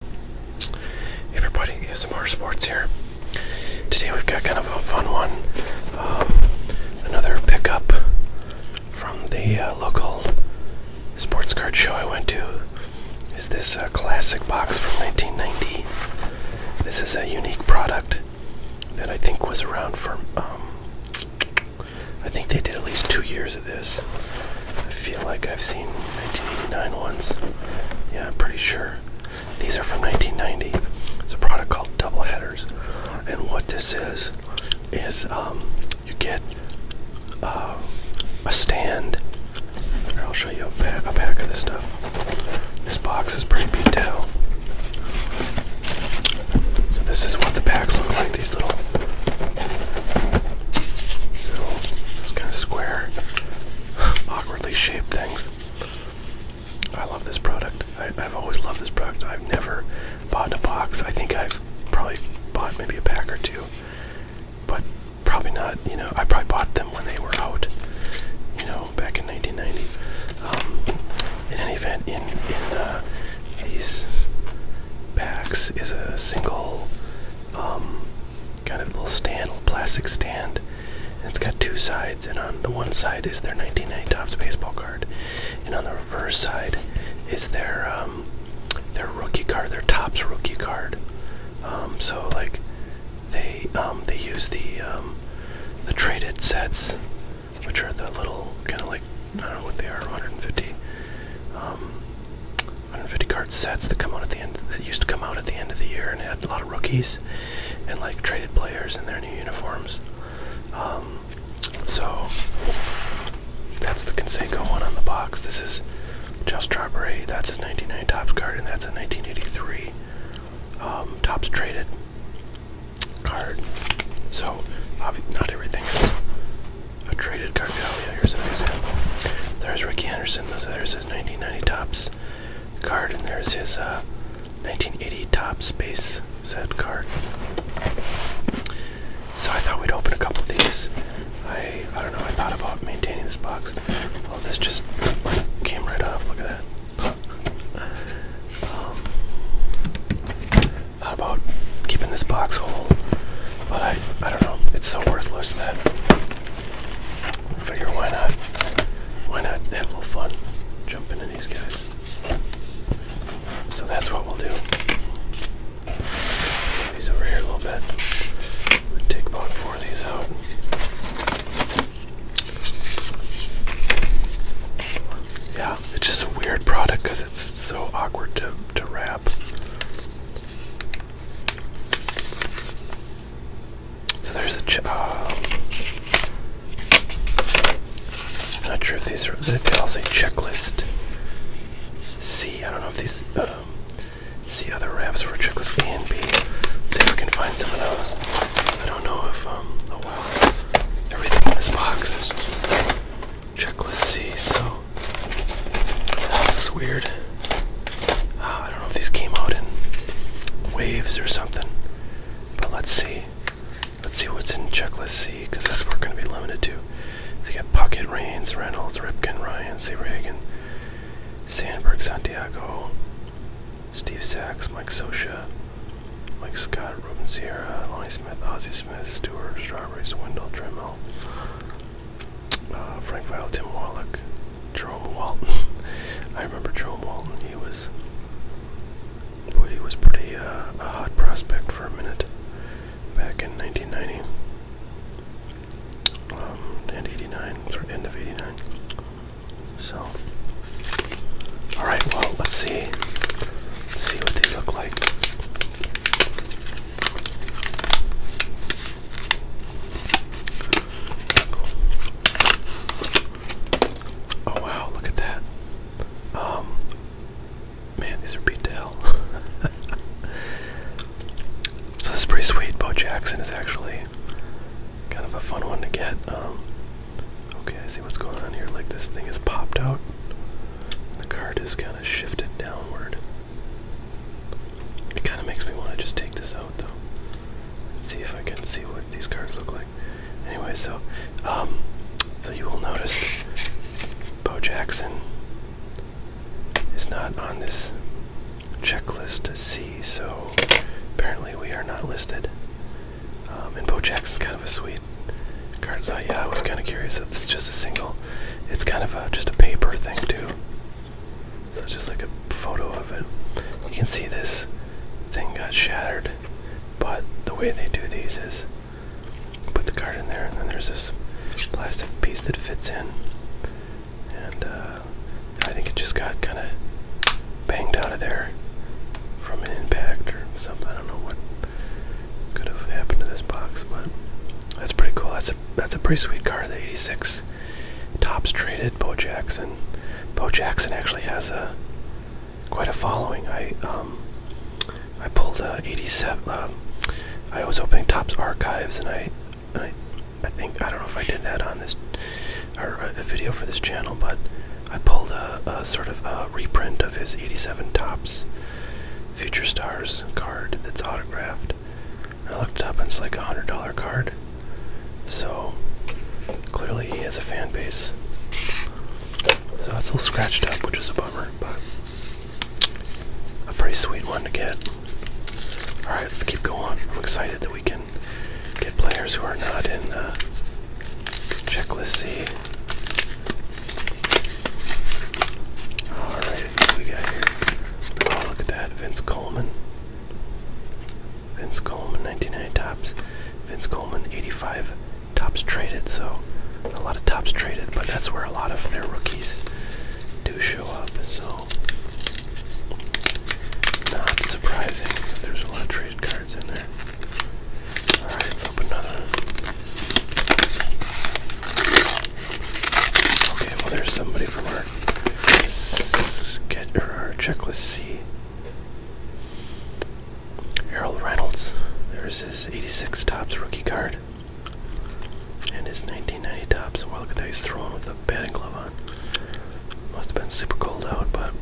Hey everybody, ASMR Sports here. Today we've got kind of a fun one. Um, another pickup from the uh, local sports card show I went to is this uh, classic box from 1990. This is a unique product that I think was around for, um, I think they did at least two years this. I feel like I've seen 1989 ones. Yeah, I'm pretty sure. These are from 1990. It's a product called Double Headers. And what this is, is um, you get uh, a stand. Here, I'll show you a, pack of this stuff. This box is pretty beat So this is what the packs look like, these little those kind of square, awkwardly shaped things. I love this product. I, have always loved this product. I've never bought a box. I think I've probably bought maybe a pack or two, but probably not. You know, I probably bought them when they were out. You know, back in 1990. Um, in any event, in in uh, these packs is a single kind um, of little stand, little plastic stand. And it's got two sides, and on the one side is their 1990 Topps baseball card, and on the reverse side is their um, their rookie card, their Topps rookie card. Um, so like they they use the the traded sets, which are the little kind of like I don't know what they are, 150. 150 card sets that come out at the end that used to come out at the end of the year and had a lot of rookies and like traded players in their new uniforms. Um, so that's the Conseco one on the box. This is Just Strawberry. That's his 1990 tops card, and that's a 1983 um, tops traded card. So not everything is a traded card. Oh here's an example. There's Rick Anderson. there's his 1990 tops card, and there's his 1980 uh, tops base set card. So I thought we'd open a couple of these. I I don't know. I thought about maintaining this box. Well, oh, this just came right off. Look at that. Um, thought about keeping this box whole, but I I don't know. It's so worthless that I figure why not why not have a little fun jumping in these guys. So that's what we'll do. these over here a little bit. take about four of these out. Yeah, it's just a weird product because it's so awkward to to wrap crap. So there's a. Ch uh, I'm not sure if these are. They all say checklist. C. I don't know if these. Um, see other wraps for checklist A and B. See if we can find some of those. I don't know if. Um, oh wow. Everything in this box is Checklist C, so that's weird. Ah, I don't know if these came out in waves or something, but let's see. Let's see what's in checklist C, because that's what we're going to be limited to. So you got Puckett, Rains, Reynolds, Ripken, Ryan, Seabragan, Sandberg, Santiago, Steve Sachs, Mike Sosha, Mike Scott, Ruben Sierra, Lonnie Smith, Ozzy Smith, Stewart, Strawberries, Wendell Dremel, uh, Frank Vile, Tim Wallach, Jerome Walton. I remember Jerome Walton. He was, well, he was pretty uh, a hot prospect for a minute back in 1990 um, and 89, sort end of 89. So, all right. Well, let's see see what these look like. Oh wow, look at that. Um man, these are beat to so this is pretty sweet. Bo Jackson is actually kind of a fun one to get. Um, okay, I see what's going on here. Like this thing has popped out the card is kind of shifted downward. It kind of makes me want to just take this out though. See if I can see what these cards look like. Anyway, so um, so you will notice Bo Jackson is not on this checklist C, so apparently we are not listed. In um, and Bojack's kind of a sweet card. So yeah, I was kind of curious. If it's just a single. It's kind of just a paper thing too. So just like a photo of it. You can see this thing got shattered, but the way they do these is put the card in there, and then there's this plastic piece that fits in. And uh, I think it just got kind of banged out of there from an impact or something. I don't know what could have happened to this box, but that's pretty cool. That's a that's a pretty sweet card. The '86 tops traded Bo Jackson. Bo Jackson actually has a quite a following. I um I pulled uh, um, '87. I was opening Tops archives, and I, I I think I don't know if I did that on this or a video for this channel, but I pulled a, sort of a reprint of his 87 Tops Future Stars card that's autographed. I looked up and it's like a $100 card. So clearly he has a fan base. So it's a little scratched up, which is a bummer, but a pretty sweet one to get. Alright, let's keep going. I'm excited that we can get players who are not in uh, Checklist C. Alright, Oh, look at that. Vince Coleman. Vince Coleman, 1990 tops. Vince Coleman, 85 tops traded. So, a lot of tops traded, but that's where a lot of their rookies do show up. So, not surprising that there's a lot of traded cards in there. Alright, let's open another. Okay, well, there's somebody from our, get, our checklist See, Harold Reynolds. There's his 86 Tops rookie card. And his 1990 Tops. Well, look at that. He's throwing with the batting glove on. Must have been super cold out, but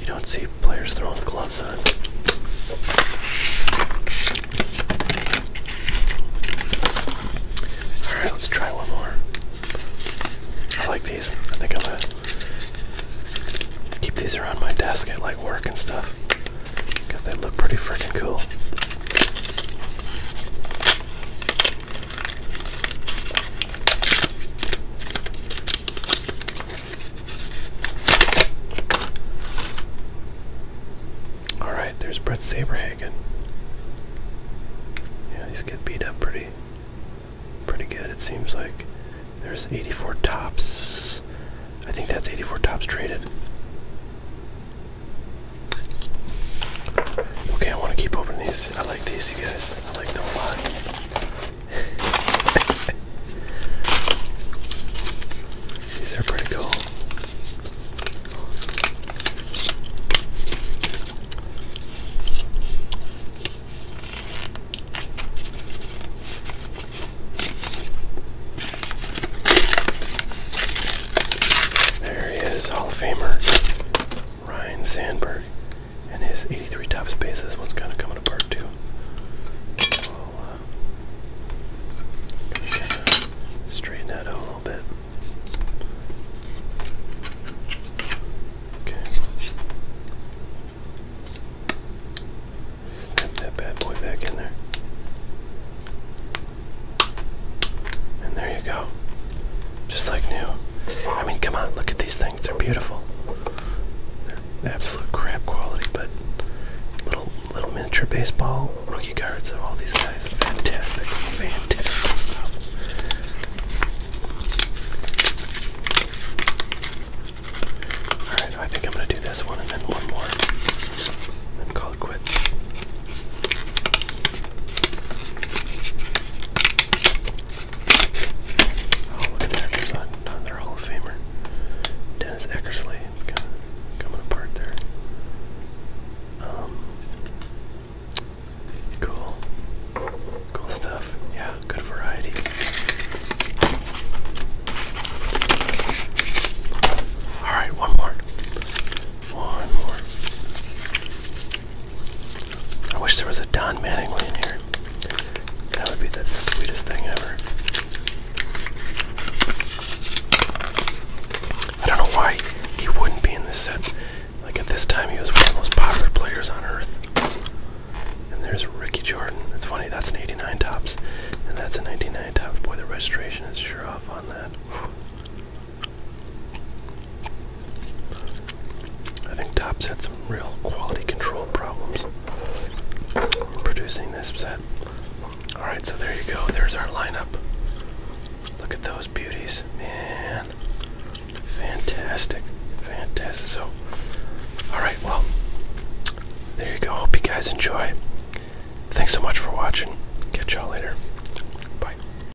you don't see players throwing gloves on. Alright, let's try one more. I like these. I think I'm gonna keep these around my desk at like work and stuff. God, they look pretty freaking cool. All right, there's Brett Saberhagen. Yeah, these get beat up pretty, pretty good. It seems like there's 84 tops. I think that's 84 tops traded. Okay, I want to keep opening these. I like these, you guys. I like them a lot. These are pretty cool. There he is, Hall of Famer. Ryan Sandberg and his 83 top space. This one's kind of coming apart too. we'll, uh, that out a little bit. Okay. Snap that bad boy back in there. And there you go. Just like new. I mean, come on, look at these things. They're beautiful. They're absolute crap quality, but little little miniature baseball rookie cards of all these guys. Fantastic, fantastic stuff. Alright, I think I'm gonna do this one and then one more. And call it quits. Oh, look at that. another Hall of Famer. Dennis Eckersley. It's kind of coming apart there. Um, cool. Cool stuff. Yeah, good variety. Alright, one more. One more. I wish there was a Don Mattingly in here. That would be the sweetest thing ever. I don't know why he wouldn't be in this set. Like at this time, he was one of the most popular players on earth. And there's Ricky Jordan. That's funny, that's an 89 tops, and that's a 99 tops. Boy, the registration is sure off on that. I think Topps had some real quality control problems producing this set. Alright, so there you go. There's our lineup. Look at those beauties. Man. Fantastic. Fantastic. So, alright, well, there you go. Hope you guys enjoy. Thanks so much for watching. Catch y'all later. Bye.